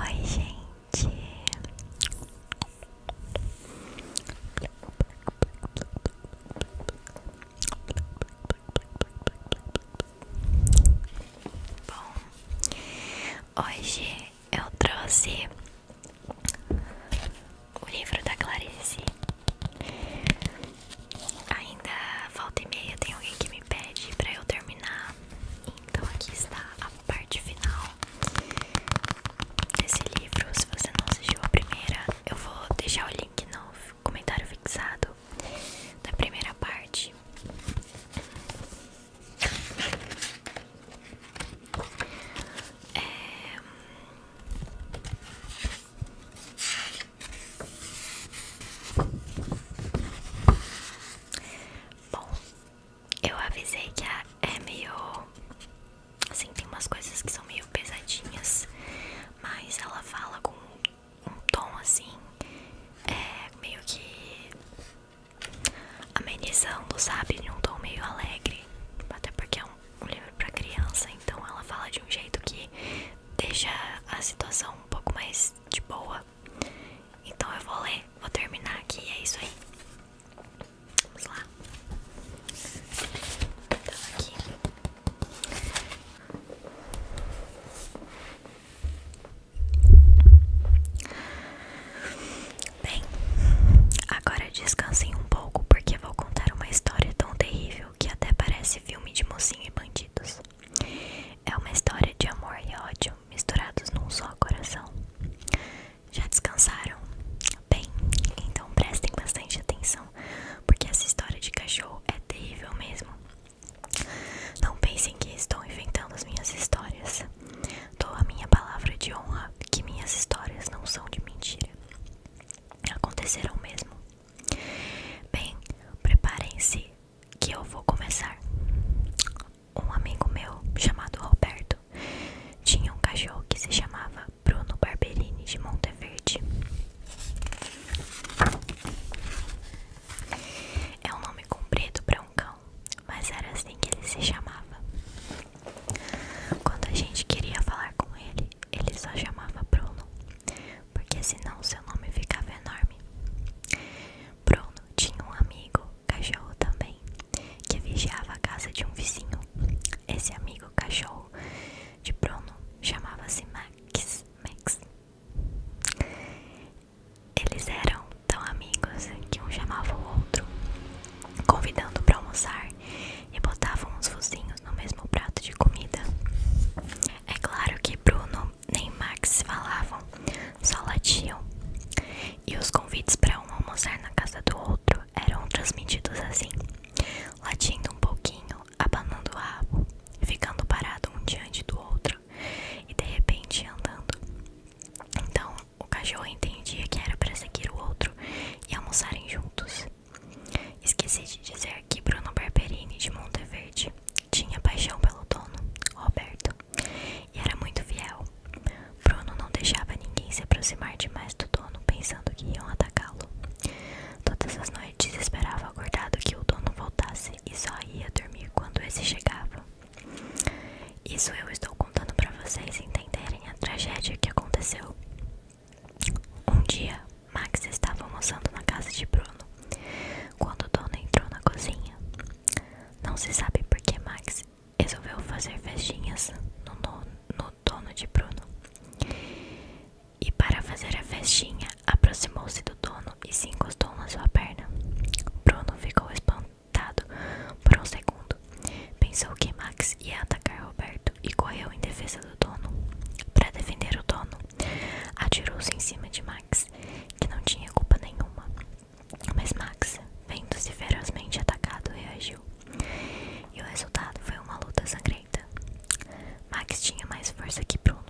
Oi, gente. Bom, hoje eu trouxe o livro da Clarice. Ainda falta e meia, tem alguém que me pede para eu terminar. Então aqui está a parte final desse livro. Se você não assistiu a primeira, eu vou deixar o link no comentário fixado da primeira parte. É, Bom, eu avisei que é meio. Assim, tem umas coisas que são meio pesadinhas, mas ela fala com um tom assim, é meio que amenizando, sabe? Em um tom meio alegre, até porque é um, um livro para criança, então ela fala de um jeito que deixa a situação um pouco mais de boa então eu vou ler, vou terminar aqui é isso aí. Vamos lá. Então aqui. Bem, agora descansem um pouco porque vou contar uma história tão terrível que até parece filme de mocinho e bandidos. É uma história de amor e ódio misturados num só coração. Já descansaram? Bem, então prestem bastante atenção, porque essa história de cachorro é terrível mesmo. Não pensem que estou inventando as minhas histórias. Dou a minha palavra de honra que minhas histórias não são de mentira. Aconteceram mesmo. Bem, preparem-se que eu vou começar. Um amigo meu chamado Roberto tinha um cachorro que se chamava Bruno Barbellini de Monteverde. É um nome comprido para um cão, mas era assim que ele se chamava. Quando a gente queria falar com ele, ele só chamava Bruno, porque senão seu nome ficava enorme. Bruno tinha um amigo, cachorro também, que vigiava a casa de um vizinho. Esse amigo cachorro de Bruno chamava-se Max. Max. Eles eram tão amigos que um chamava o outro, convidando para almoçar e botavam uns focinhos no mesmo prato de comida. É claro que Bruno nem Max falavam, só latiam. E os convites para um almoçar na casa do outro eram transmitidos assim, latindo um pouquinho, abanando o rabo, ficando parado um diante do outro e de repente andando. Então o cachorro entendia que era para seguir o outro e almoçarem juntos. Esqueci de dizer que Bruno Barberini de Monteverde tinha paixão pelo dono, Roberto, e era muito fiel. Bruno não deixava ninguém se aproximar demais do dono, pensando que iam atacá-lo. Todas as noites esperava acordado que o dono voltasse e só ia dormir quando esse chegava. Isso eu estou contando para vocês entenderem a tragédia que aconteceu. Um dia, Max estava almoçando na casa de Bruno quando o dono entrou na cozinha. Não se sabe por que Max resolveu fazer festinhas no, no dono de Bruno. E para fazer a festinha, aproximou-se do dono e se encostou na sua perna. Bruno ficou espantado por um segundo. Pensou que Max ia atacar Roberto e correu em defesa do dono. Para defender o dono, atirou-se em cima de Max, que não tinha culpa nenhuma. Mas Max, vendo-se ferozmente atacado, reagiu. E o resultado foi uma luta sangrenta. Max tinha mais força que Bruno.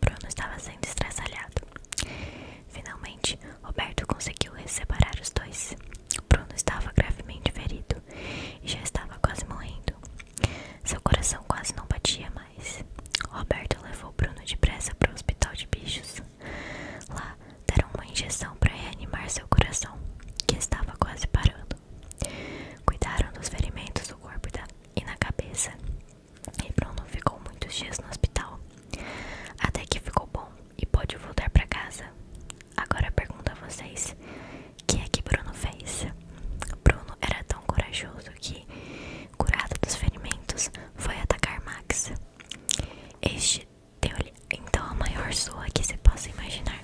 Bruno estava sendo estressalhado. Finalmente, Roberto conseguiu separar os dois. Bruno estava gravemente ferido e já estava quase morrendo. Seu coração quase não batia mais. Roberto levou Bruno depressa para o hospital de bichos. Lá deram uma injeção para reanimar seu coração, que estava quase parando. Cuidaram dos ferimentos do corpo e na cabeça. E Bruno ficou muitos dias no hospital, até que ficou bom e pôde voltar para casa. Agora pergunto a vocês: o que é que Bruno fez? Bruno era tão corajoso que, curado dos ferimentos, foi atacar Max. Este deu então a maior sua que você possa imaginar.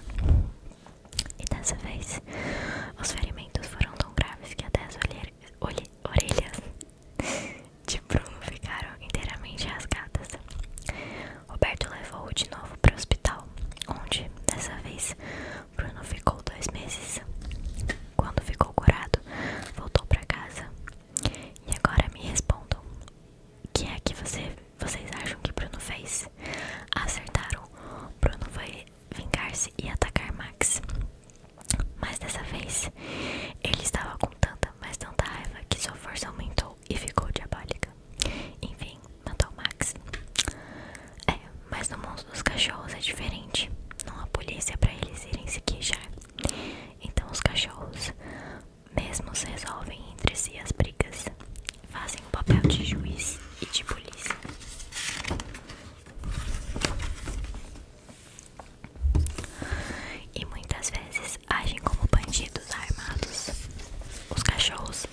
E dessa vez, os ferimentos foram tão graves que até as orelhas de Bruno ficaram inteiramente rasgadas. Roberto levou-o de novo para o hospital, onde, dessa vez, Bruno ficou dois meses. Quando ficou curado, voltou para casa e agora me respondam: o que é que vocês acham que Bruno fez? Acertaram. Bruno foi vingar-se e atacar Max. Mas dessa vez, ele estava com tanta, mas tanta raiva que sua força aumentou e ficou diabólica. Enfim, matou Max. É, mas no mundo dos cachorros é diferente. Não há polícia para eles irem se queixar. Então os cachorros mesmos resolvem entre si as brigas, fazem o papel de juiz e de polícia. E muitas vezes agem como bandidos armados. Os cachorros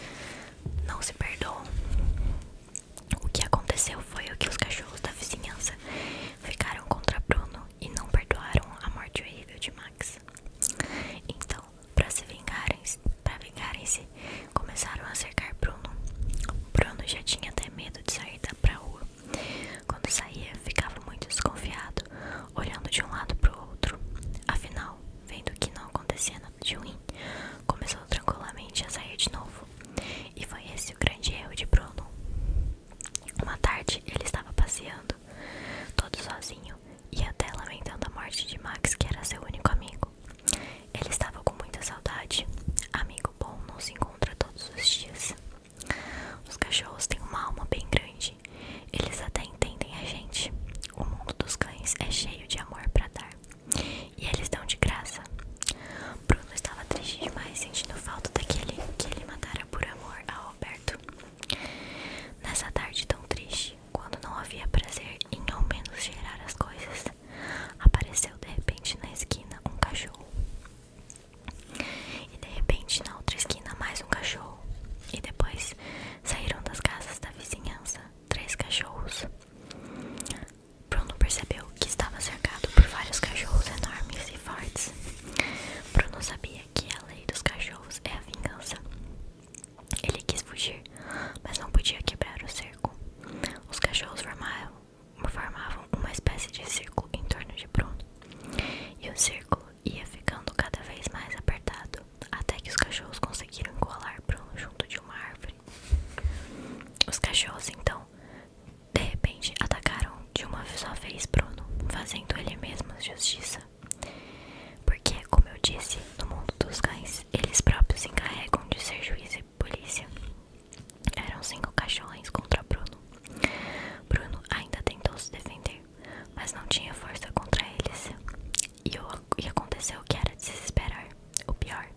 não se perdoam. O que aconteceu foi o que os cachorros da vizinhança ficaram contra Bruno e não perdoaram a morte horrível de Max. Então, para se vingarem, para vingarem-se, começaram a cercar Bruno. Bruno já tinha até medo de sair da pra rua. Quando saía, ficava muito desconfiado, olhando de um lado para o outro. Afinal, vendo que não acontecia nada de ruim, começou tranquilamente a sair de novo. E foi esse o grande erro de Bruno. Uma tarde ele estava passeando, todo sozinho, e até lamentando a morte de Max, que era seu único amigo. Ele estava com muita saudade. Amigo bom não se encontra todos os dias. Os cachorros têm uma alma bem grande. Eles até entendem a gente. O mundo dos cães é cheio de amor para dar. E eles dão de graça. Bruno estava triste demais, sentindo falta daquele que ele matara por amor a Alberto. Nessa tarde tão triste, quando não havia prazer em ao menos gerar as coisas, apareceu de repente na esquina um cachorro. E de repente na outra esquina mais um cachorro. E depois saíram das casas da vizinhança três cachorros. Bruno percebeu que estava cercado por vários cachorros enormes fortes. Bruno sabia que a lei dos cachorros é a vingança. Ele quis fugir, mas não podia quebrar o cerco. Os cachorros formavam, uma espécie de círculo em torno de Bruno, e o círculo ia ficando cada vez mais apertado até que os cachorros conseguiram colar Bruno junto de uma árvore. Os cachorros então de repente, atacaram de uma só vez Bruno, fazendo ele mesmo justiça. Porque, como eu disse, no mundo dos cães, eles próprios se encarregam de ser juiz e polícia. Eram cinco cachorrões contra Bruno. Bruno ainda tentou se defender, mas não tinha força contra eles. E, o, e aconteceu o que era desesperar o pior.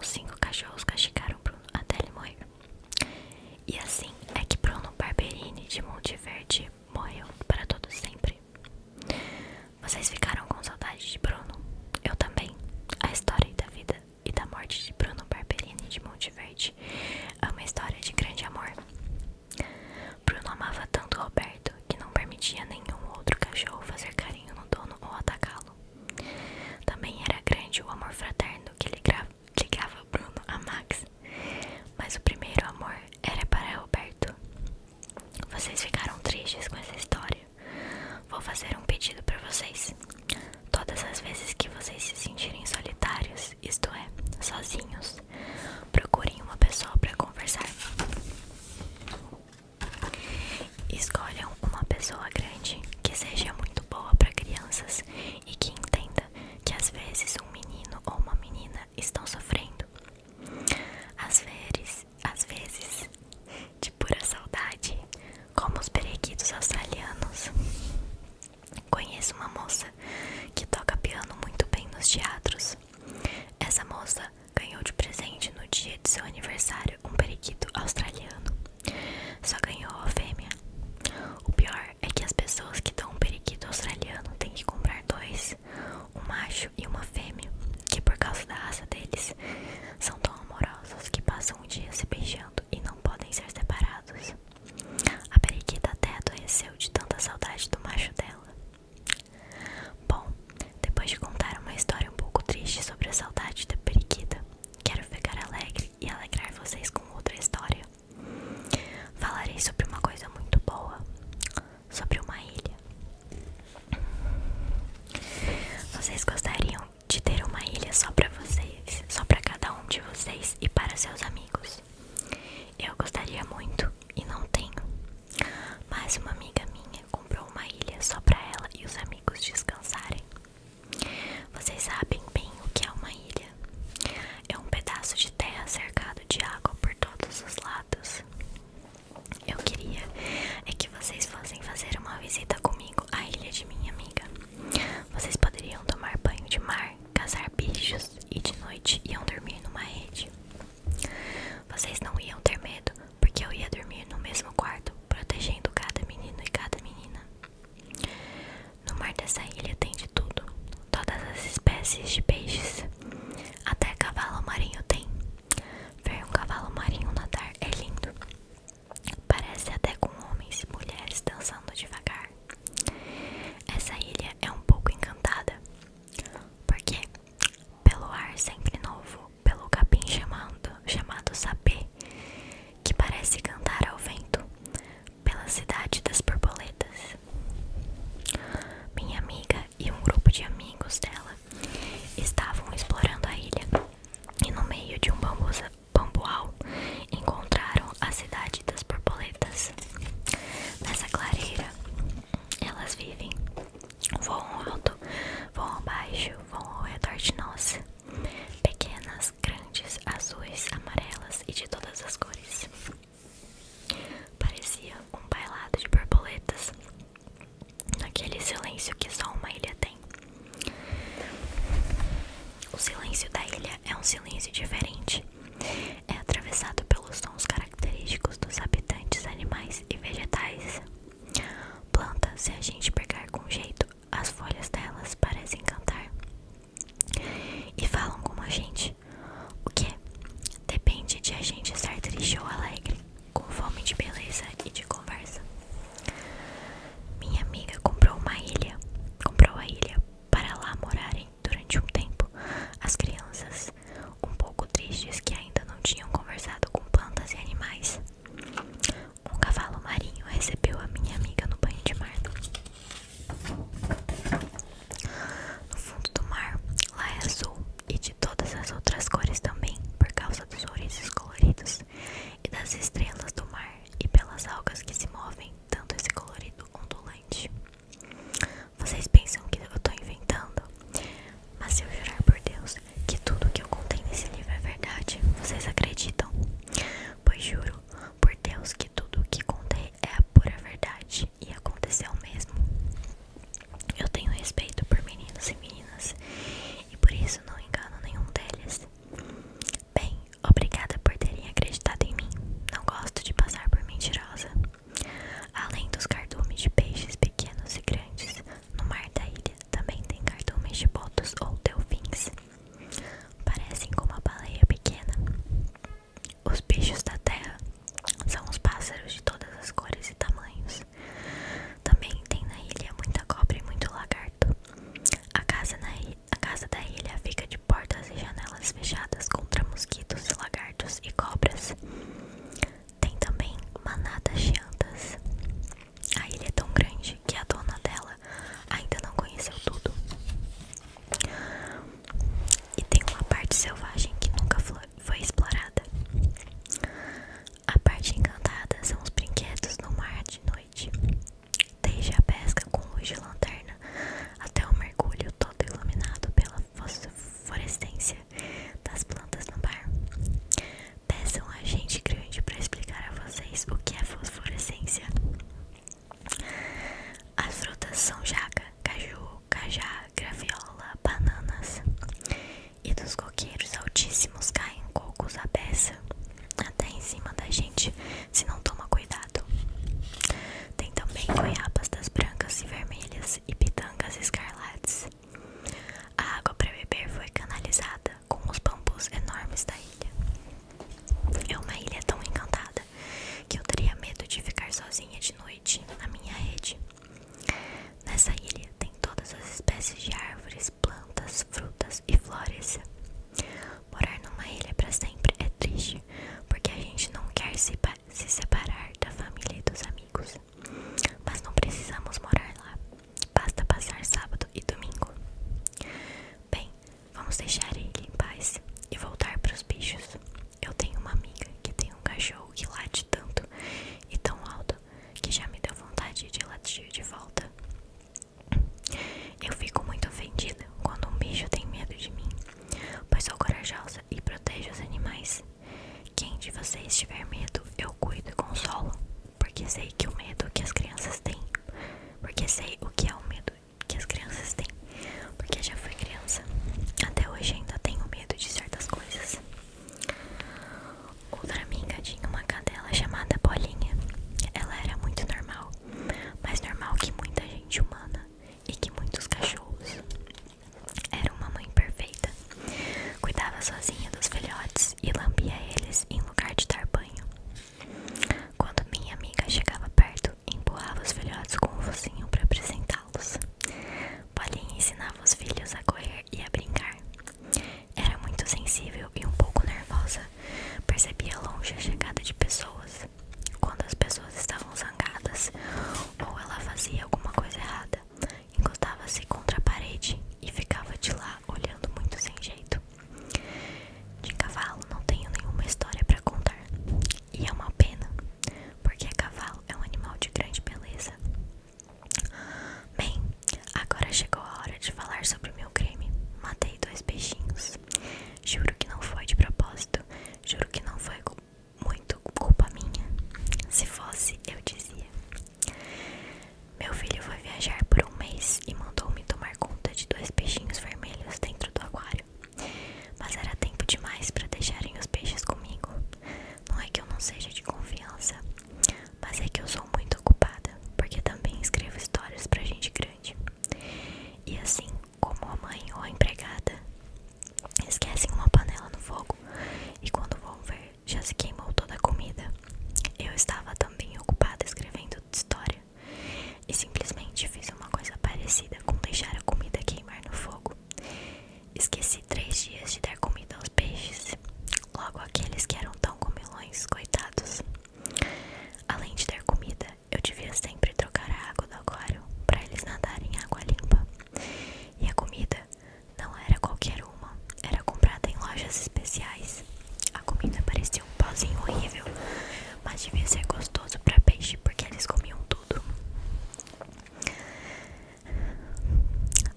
Os cinco cachorros castigaram Bruno até ele morrer. E assim é que Bruno Barberini de Monteverde morreu para todo sempre. Vocês ficaram com saudade de Bruno? Eu também. A história da vida e da morte de Bruno Barberini de Monteverde é uma história de grande amor. Bruno amava tanto Roberto que não permitia nenhum outro cachorro fazer carinho no dono ou atacá-lo. Também era grande o amor fraterno que ele gravava ligava o Bruno a Max, mas o primeiro amor era para Roberto. Vocês ficaram tristes com essa história. Vou fazer um pedido para vocês. Todas as vezes que vocês se sentirem solitários, isto é, sozinhos, procurem uma pessoa para conversar. Escolham uma pessoa grande que seja muito boa para crianças e que entenda que às vezes um menino ou uma menina estão sofrendo. Às vezes, às vezes, de pura saudade, como os periquitos australianos. Conheço uma moça que toca piano muito bem nos teatros. Essa moça ganhou de presente no dia de seu aniversário um periquito australiano. Só ganhou a fêmea. O pior é que as pessoas que dão um periquito australiano têm que comprar dois, um macho e uma fêmea, que por causa da raça deles são tão amorosos que passam o dia se beijando e não podem ser separados. A periquita até adoeceu de tanta saudade do macho dela. Bom, depois de contar uma história um pouco triste sobre a saudade da periquita, quero ficar alegre e alegrar vocês com outra história. Falarei sobre uma coisa muito boa, sobre uma ilha. Vocês gostariam de ter uma ilha só para vocês, só para cada um de vocês e para seus amigos? Eu gostaria muito e não tenho. Mas uma amiga minha comprou uma ilha só para ela e os amigos descansarem. Vocês sabem bem o que é uma ilha. É um pedaço de terra cercado de água por todos os lados. Eu queria é que vocês fossem fazer uma visita comigo à ilha de minha amiga. Vocês poderiam tomar banho de mar, caçar bichos e de noite iam dormir numa rede. Vocês não iam ter medo, porque eu ia dormir no mesmo quarto, protegendo cada menino e cada menina. No mar dessa ilha tem de tudo, todas as espécies de peixes, até cavalo marinho tem. Ver um cavalo marinho nadar é lindo, parece até com homens e mulheres dançando devagar. Essa ilha é um pouco encantada, porque pelo ar sempre novo, pelo capim chamado, chamado sapê, que parece cantar ao vento, pela cidade das borboletas. Minha amiga e um grupo de amigos dela estavam explorando a ilha e, no meio de um bambuau encontraram a cidade das borboletas. Nessa clareira, elas vivem, voam alto, voam baixo, voam ao redor de nós, pequenas, grandes, azuis, amarelas e de todas as cores. Parecia um bailado de borboletas, naquele silêncio que só uma ilha tem. O silêncio da ilha é um silêncio diferente. É atravessado pelos sons característicos dos habitantes, animais e vegetais. Plantas, se a gente pegar com jeito, as folhas delas parecem cantar e falam com a gente, o que depende de a gente estar triste ou alegre, com fome de beleza e de conversa. Minha amiga comprou uma ilha, comprou a ilha para lá morarem durante um tempo as crianças, um pouco tristes que ainda não tinham conversado com plantas e animais. Um cavalo marinho recebeu a minha amiga no banho de mar no fundo do mar. Lá é azul e de todas as outras cores também, por causa dos ouriços coloridos e das estrelas do mar e pelas algas que se movem, dando esse colorido ondulante. Vocês pensam que eu estou inventando? Mas se eu jurar por Deus que tudo que eu contei nesse livro é verdade, vocês acreditam? Pois juro, por Deus, que tudo o que contei é pura verdade e aconteceu mesmo. Eu tenho respeito por meninos e meninas e por isso não engano nenhum deles. Bem, obrigada por terem acreditado em mim. Não gosto de passar por mentirosa. Além dos cardumes de peixes pequenos e grandes, no mar da ilha também tem cardumes de botos ou delfins. Parecem com uma baleia pequena. Os bichos da terra são os pássaros de todas as cores e tamanhos. Também tem na ilha muita cobra e muito lagarto. A casa, na a casa da ilha fica de portas e janelas fechadas contra mosquitos, lagartos e cobras. Tem também manadas de chiantas. A ilha é tão grande que a dona dela ainda não conheceu tudo. E tem uma parte selvagem que nunca foi explorada. A parte encantada são os brinquedos no mar de noite. Desde a pesca com luz de lanterna até o mergulho todo iluminado pela fosforescência das plantas no bar. Peçam a gente grande para explicar a vocês o que é fosforescência. As frutas são jaca, caju, cajá, graviola, bananas. E dos coqueiros altíssimos caem cocos à beça, até em cima da gente, se não toma cuidado. Tem também goiabas das brancas e vermelhas e pitangas escarlates. A água para beber foi canalizada com os bambus enormes da ilha. É uma ilha tão encantada que eu teria medo de ficar sozinha de noite na minha rede. Nessa ilha tem todas as espécies de árvores, plantas, frutas e flores. Morar numa ilha para sempre é triste, porque a gente não quer se, se separar da família e dos amigos. Mas não precisamos morar lá, basta passar sábado e domingo. Bem, Vamos deixar ele em paz e voltar para os bichos. Eu tenho uma amiga que tem um cachorro que late tanto e tão alto que já me deu vontade de latir de volta. Eu fico muito ofendida quando um bicho tem medo de mim, pois sou corajosa e protejo os animais. Quem de vocês tiver medo, eu cuido e consolo, porque sei que o medo que as crianças têm, porque sei o que é o medo que as crianças têm. Porque já fui criança. Até hoje ainda tenho medo de certas coisas. Outra amiga tinha uma cadela chamada Bolinha. Ela era muito normal, mais normal que muita gente humana e que muitos cachorros. Era uma mãe perfeita. Cuidava sozinha dos filhotes e lambia eles em lugar de dar banho. Quando minha amiga chegava perto, empurrava os filhotes com o um focinho para apresentá-los. Paulinha ensinava os filhos a correr e a brincar. Era muito sensível e um pouco nervosa. Percebia longe a chegada de pessoas. Quando as pessoas estavam zangadas ou ela fazia alguma coisa errada, encostava-se contra a parede e ficava de lá olhando muito sem jeito. De cavalo não tenho nenhuma história para contar. E é uma pena, porque cavalo é um animal de grande beleza. Bem, agora chegou a hora de falar sobre o meu crime. Matei dois peixinhos. Juro que não foi de propósito. Juro que não foi muito culpa minha. Se fosse, eu dizia. Meu filho foi viajar por um mês e mandou-me tomar conta de dois peixinhos vermelhos dentro do aquário. Mas era tempo demais para deixarem os peixes comigo. Não é que eu não seja de confiança, mas é que eu sou muito ocupada, porque também escrevo histórias para gente grande. E assim como a mãe ou a empregada esquecem uma panela no fogo e quando vão ver já se queimou toda a comida. Eu estava também ocupada escrevendo história e simplesmente fiz uma coisa parecida com deixar a comida queimar no fogo. Esqueci três dias de dar comida aos peixes, logo aqueles que eram tão comilões, coitados. Além de dar comida, eu devia sempre trocar a água do aquário para eles nadarem em água limpa. E a comida não era qualquer uma, era comprada em lojas especiais. A comida parecia um pozinho horrível, mas devia ser gostoso para peixe porque eles comiam tudo tudo.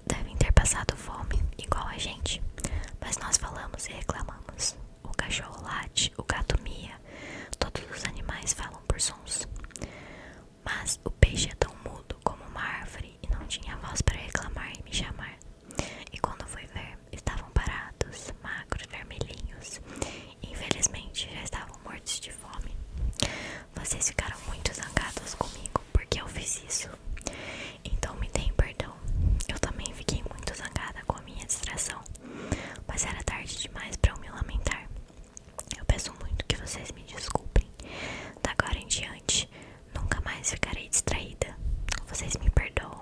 Devem ter passado fome, igual a gente, mas nós falamos e reclamamos. O cachorro late, o gato mia, todos os animais falam por sons. Mas o peixe é tão mudo como uma árvore e não tinha voz para reclamar e me chamar. E quando fui ver, estavam parados, magros, vermelhinhos Infelizmente já estavam mortos de fome. Vocês ficaram muito zangados comigo porque eu fiz isso. Então me deem perdão. Eu também fiquei muito zangada com a minha distração, mas era tarde demais para eu me lamentar. Eu peço muito que vocês me desculpem. Da agora em diante, nunca mais ficarei distraída. Vocês me perdoam.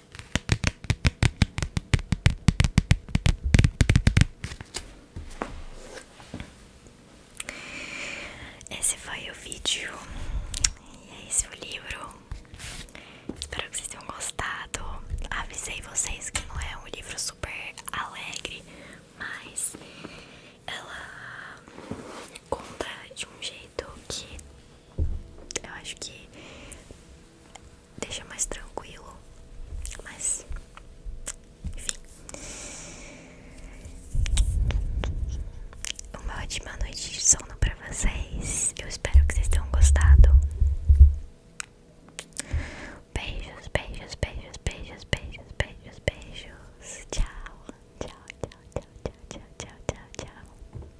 Esse foi o vídeo e é esse o livro. Espero que vocês tenham gostado. Avisei vocês que não é um livro super alegre, mas ela conta de um jeito que eu acho que deixa mais tranquilo, mas enfim. Uma ótima noite de sono pra vocês. Eu espero que vocês tenham gostado. Beijos, beijos, beijos, beijos, beijos, beijos, beijos. Tchau, tchau, tchau, tchau, tchau, tchau, tchau, tchau.